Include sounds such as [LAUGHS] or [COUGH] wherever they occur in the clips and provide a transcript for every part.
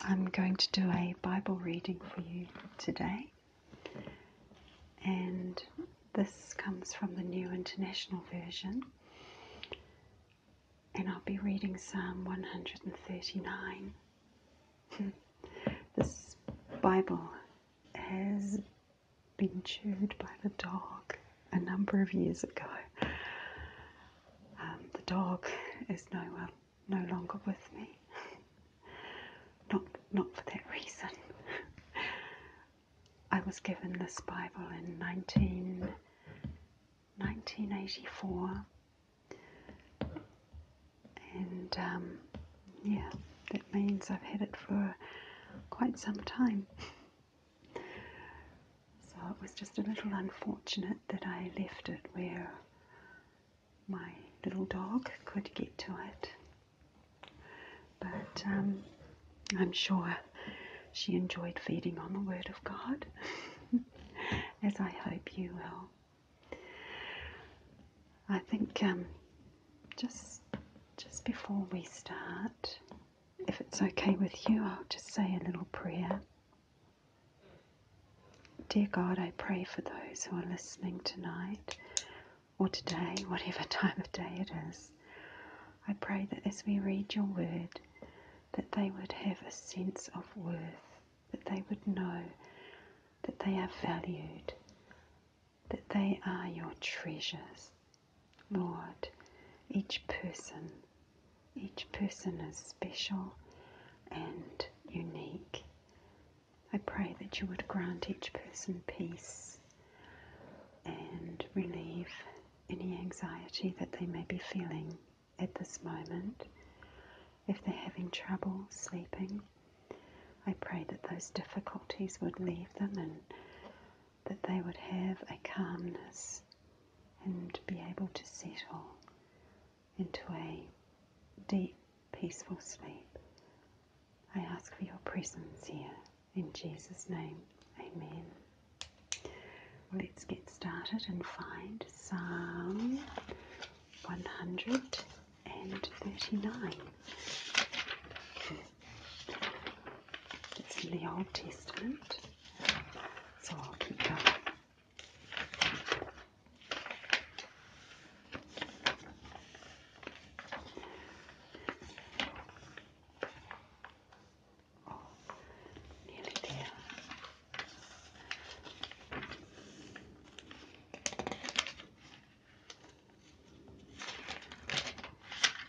I'm going to do a Bible reading for you today, and this comes from the New International Version. And I'll be reading Psalm 139. [LAUGHS] this Bible has been chewed by the dog a number of years ago. Um, the dog is no, um, no longer with me. [LAUGHS] not, not for that reason. [LAUGHS] I was given this Bible in 19, 1984. And um, yeah, that means I've had it for quite some time. [LAUGHS] So it was just a little unfortunate that I left it where my little dog could get to it. But um, I'm sure she enjoyed feeding on the Word of God, [LAUGHS] as I hope you will. I think um, just just before we start, if it's okay with you, I'll just say a little prayer. Dear God, I pray for those who are listening tonight or today, whatever [LAUGHS] time of day it is. I pray that as we read your word, that they would have a sense of worth, that they would know that they are valued, that they are your treasures, Lord, each person, each person is special and unique. I pray that you would grant each person peace and relieve any anxiety that they may be feeling at this moment. If they're having trouble sleeping, I pray that those difficulties would leave them and that they would have a calmness and be able to settle into a deep, peaceful sleep. I ask for your presence here. In Jesus' name, amen. Let's get started and find some 139. It's in the Old Testament, so I'll keep going. Oh, nearly there.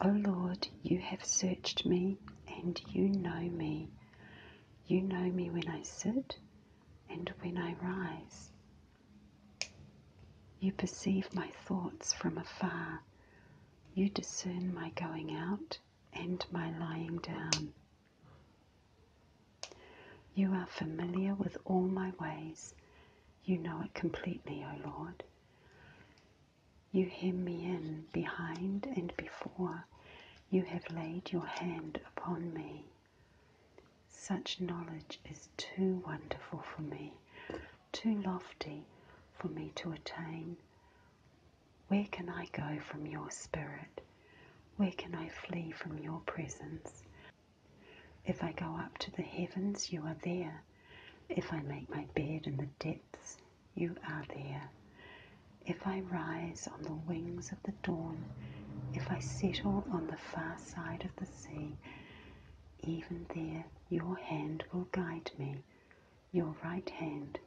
O oh Lord, you have searched me and you know me. You know me when I sit and when I rise. You perceive my thoughts from afar. You discern my going out and my lying down. You are familiar with all my ways. You know it completely, O Lord. You hem me in behind and before, you have laid your hand upon me. Such knowledge is too wonderful for me, too lofty for me to attain. Where can I go from your spirit? Where can I flee from your presence? If I go up to the heavens, you are there. If I make my bed in the depths, you are there. If I rise on the wings of the dawn, if I settle on the far side of the sea, even there your hand will guide me, your right hand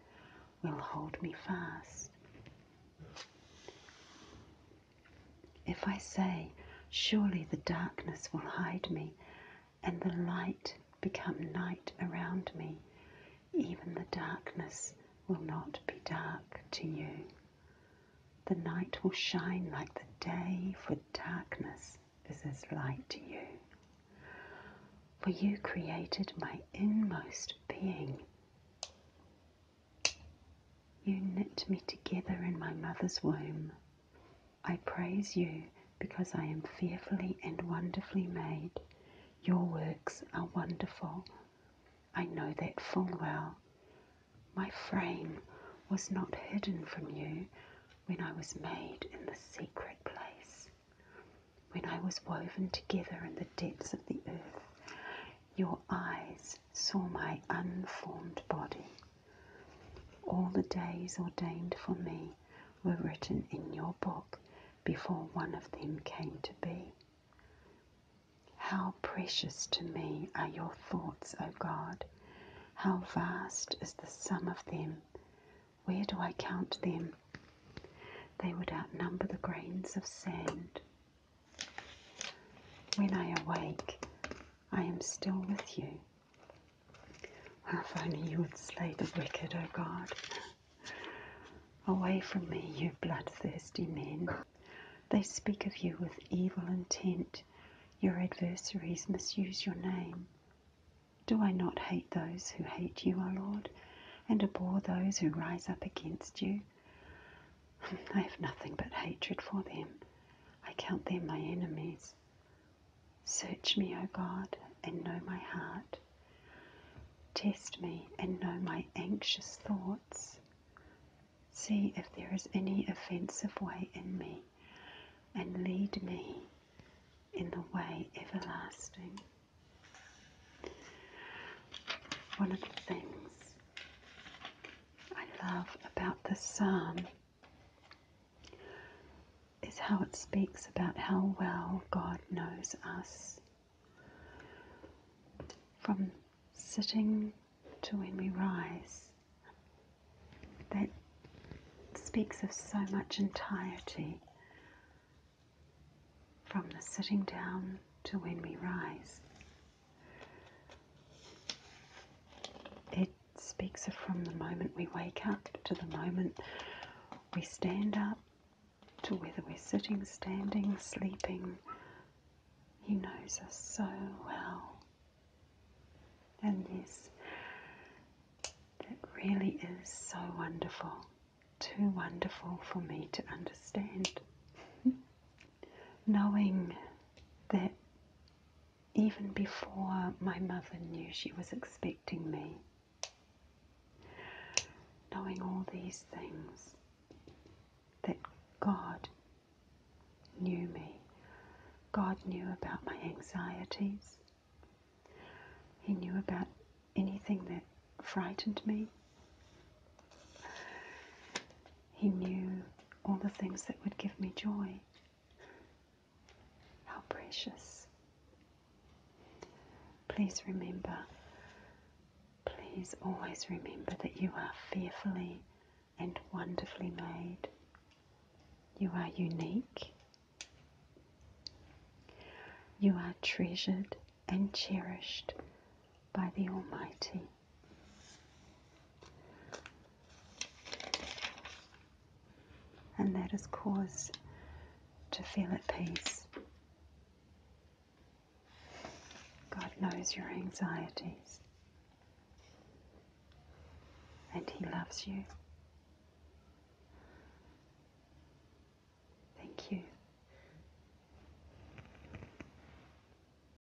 will hold me fast. If I say, Surely the darkness will hide me, and the light become night around me, even the darkness will not be dark to you. The night will shine like the day, for darkness is as light to you. For you created my inmost being. You knit me together in my mother's womb. I praise you because I am fearfully and wonderfully made. Your works are wonderful. I know that full well. My frame was not hidden from you when I was made in the secret place, when I was woven together in the depths of the earth. Your eyes saw my unformed body. All the days ordained for me were written in your book before one of them came to be. How precious to me are your thoughts, O God! How vast is the sum of them! Where do I count them? They would outnumber the grains of sand. When I awake, I am still with you. Oh, if only you would slay the wicked, O oh God. Away from me, you bloodthirsty men. They speak of you with evil intent. Your adversaries misuse your name. Do I not hate those who hate you, O Lord, and abhor those who rise up against you? [LAUGHS] I have nothing but hatred for them. I count them my enemies. Search me, O God, and know my heart. Test me and know my anxious thoughts. See if there is any offensive way in me, and lead me in the way everlasting. One of the things I love about this psalm is how it speaks about how well God knows us. From sitting to when we rise, that speaks of so much entirety. From the sitting down to when we rise, it speaks of from the moment we wake up to the moment we stand up, to whether we're sitting, standing, sleeping. He knows us so well. And this, that really is so wonderful, too wonderful for me to understand. [LAUGHS] Knowing that even before my mother knew she was expecting me. Knowing all these things, that God knew me. God knew about my anxieties. He knew about anything that frightened me. He knew all the things that would give me joy. How precious. Please remember, please always remember that you are fearfully and wonderfully made. You are unique. You are treasured and cherished by the Almighty and that is cause to feel at peace. God knows your anxieties, and He loves you. Thank you.